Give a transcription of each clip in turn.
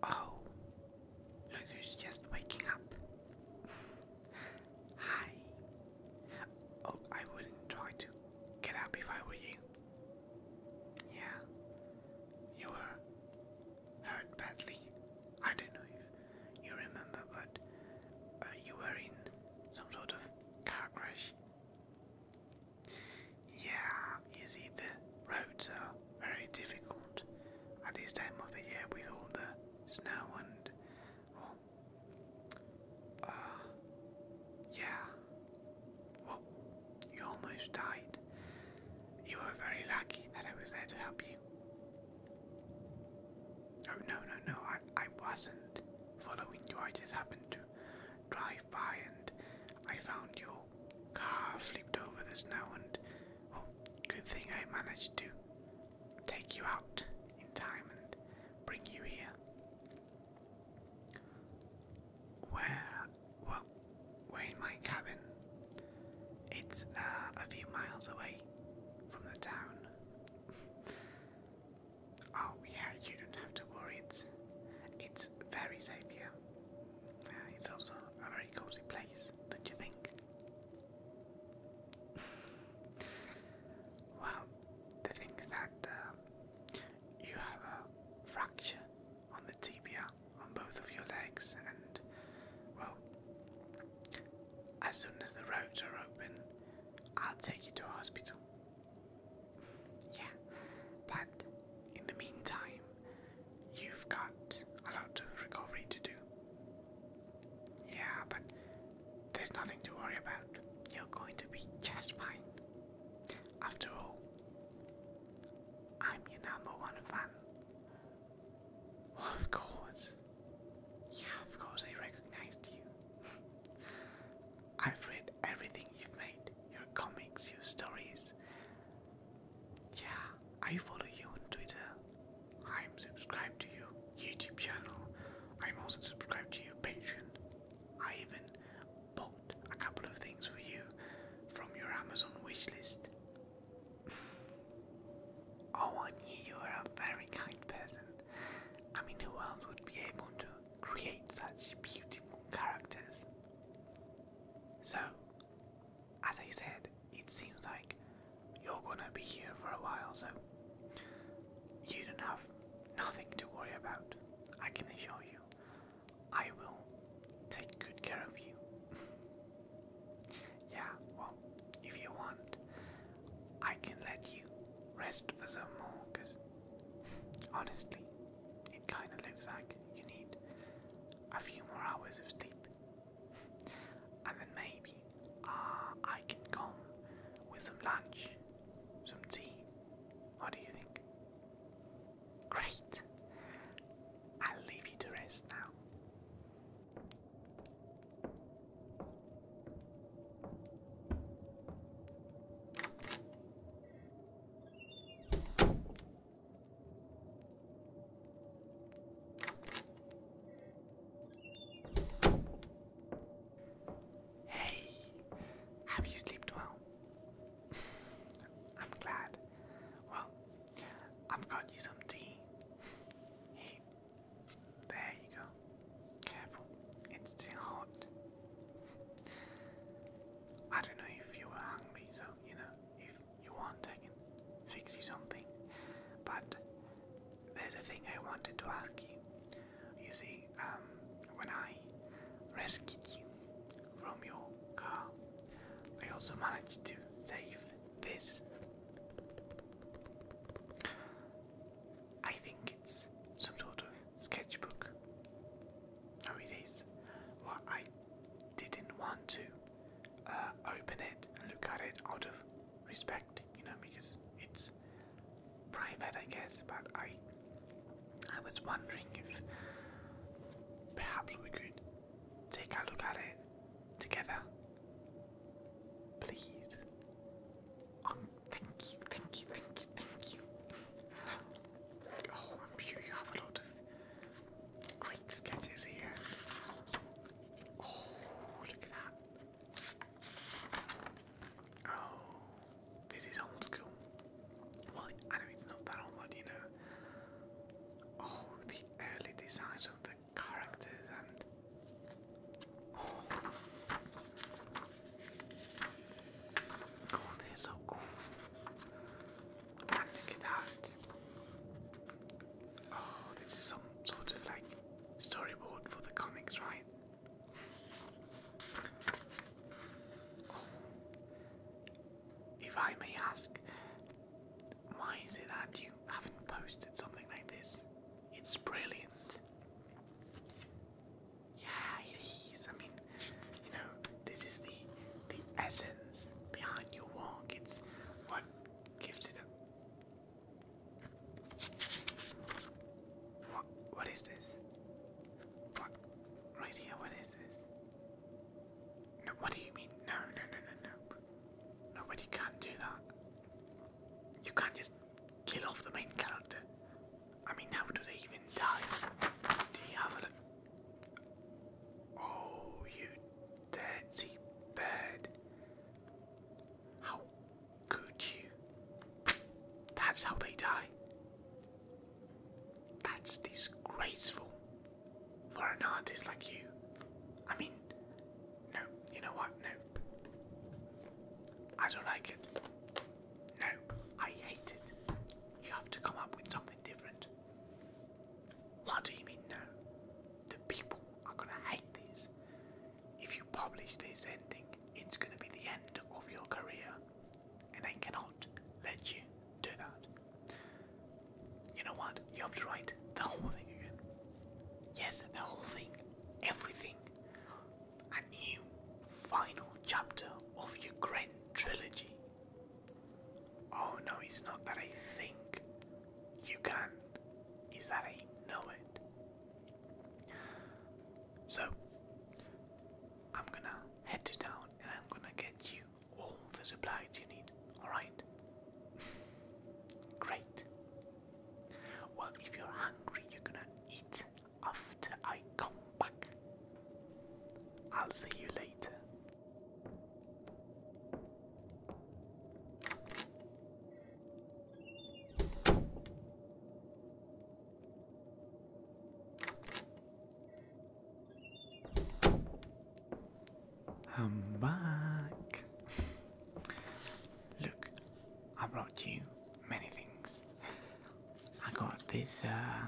Oh, look who's just waking up. Hi, Oh, I wouldn't try to get up if I were you. Yeah, you were hurt badly. I don't know if you remember, but uh, you were in some sort of car crash. Yeah, you the roads are very difficult at this time of the year with all the snow and uh, yeah. Well, you almost died. You were very lucky that I was there to help you. Oh, no, no, no, I, I wasn't following you. I just happened to drive by and I found your car flipped over the snow and, well, good thing I managed to take you out in time and bring you here. Where, well, we're in my cabin. It's uh, a few miles away from the town. oh yeah, you don't have to worry. It's, it's very safe here. Uh, it's also a very cozy place, don't you think? well, the thing that uh, you have a fracture on the tibia on both of your legs, and well, as soon as the roads are open, I'll take you to hospital. yeah, but in the meantime, you've got a lot of recovery to do. Yeah, but there's nothing to worry about. You're going to be just fine. After all, I'm your number one fan. of course. Yeah, of course I recognized you. I've read everything you've made your comics, your stories. Yeah, I follow you on Twitter. I'm subscribed to your YouTube channel. I'm also subscribed to your Patreon. I even bought a couple of things for you from your Amazon wishlist. oh, I knew you were a very kind person. I mean, who else would be able to create such beautiful characters? So, as I said, it seems like you're gonna be here for a while, so you don't have nothing to worry about, I can assure you. I will take good care of you. yeah, well, if you want, I can let you rest for some more, because honestly, it kinda looks like you need a few more hours of sleep. and then maybe uh, I can come with some lunch some tea. What do you think? Great! I'll leave you to rest now. Hey, have you slept well? I'm glad. Well, I've got you some tea. Here, there you go. Careful, it's still hot. I don't know if you were hungry, so you know, if you want, I can fix you something. But there's a thing I wanted to ask you. You see, um, when I rescued you from your car, I also managed to save this. I think it's some sort of sketchbook. Oh, it is. Well, I didn't want to uh, open it and look at it out of respect, you know, because it's private, I guess. But I, I was wondering if perhaps we could take a look at it together, please. Um, thank you, thank you, thank you, thank you. Oh, I'm sure you have a lot of great sketches here. Oh, look at that. Oh, this is old school. Well, I know it's not that old, but you know. Oh, the early designs of the characters and. Oh, they're so cool. And look at that. Oh, this is some sort of like storyboard for the comics, right? If I may ask, why is it that you haven't posted something like this? It's brilliant. Yeah, it is. I mean, you know, this is the the essence behind your work. It's what gives it a what, what is this? What? Right here, what is this? No, what do you mean? No, no, no, no, no. No, can do that. You can't just kill off the main character. I mean, how do they even die? Do you have a look? Oh, you dirty bird. How could you? That's how they die. That's disgraceful for an artist like you. I mean, no, you know what? No. I don't like it. No, I hate it. You have to come up with something different. What do you mean, no? The people are gonna hate this if you publish this ending, it's going to be the end of your career, and I cannot let you do that. You know what? You have to write the whole thing again. Yes, the whole thing, everything. A new final chapter of your grand trilogy. Oh no, it's not that I think you can, it's that I know it. So, I'm gonna head to and I'm gonna get you all the supplies you need, alright? Great. Well, if you're hungry, you're gonna eat after I come back. I'll see you later. I'm back. Look, I brought you many things. I got this uh,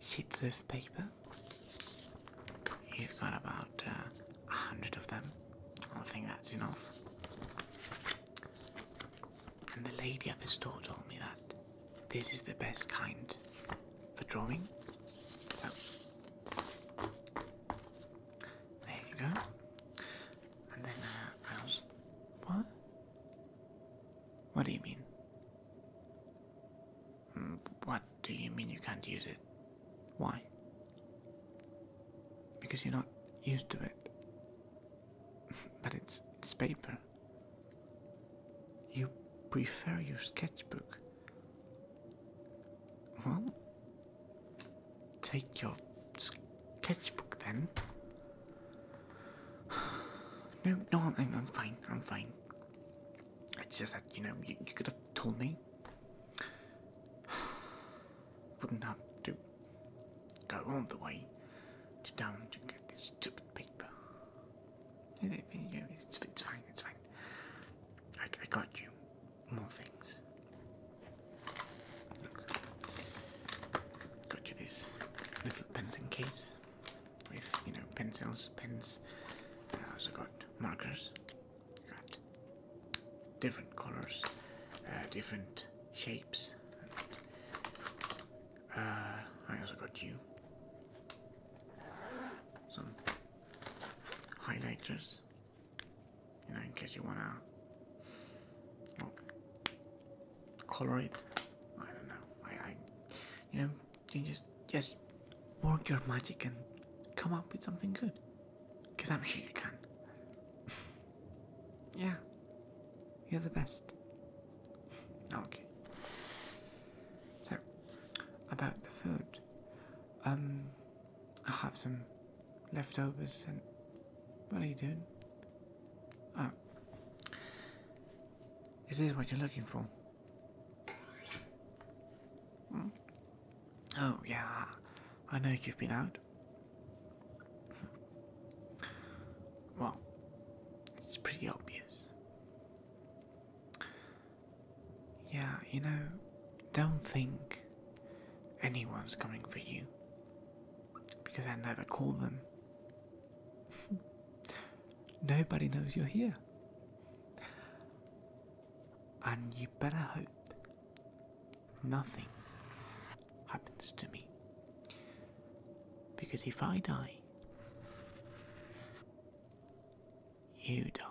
sheets of paper. You've got about uh, a hundred of them. I think that's enough. And the lady at the store told me that this is the best kind for drawing. So there you go. And then uh, I was what? What do you mean? Mm, what do you mean you can't use it? Why? Because you're not used to it. but it's it's paper. You prefer your sketchbook. Well, take your sketchbook then. No, no, I'm, I'm fine. I'm fine. It's just that you know you, you could have told me. Wouldn't have to go all the way to town to get this stupid paper. It's, fine, it's fine. I, got you. More things. Got you this little pencil case with, you know, pencils, pens. I also got markers got different colors, uh, different shapes. And, uh, I also got you some highlighters, you know, in case you wanna color it. I don't know. I, you know, you just just work your magic and come up with something good. Because I'm here, gun. yeah. You're the best. okay. So, about the food. Um, I have some leftovers and. What are you doing? Oh. Is this what you're looking for? Mm. Oh, yeah, I know you've been out. Well, it's pretty obvious. Yeah, you know, don't think anyone's coming for you. Because I never call them. Nobody knows you're here. And you better hope nothing happens to me. Because if I die, you die.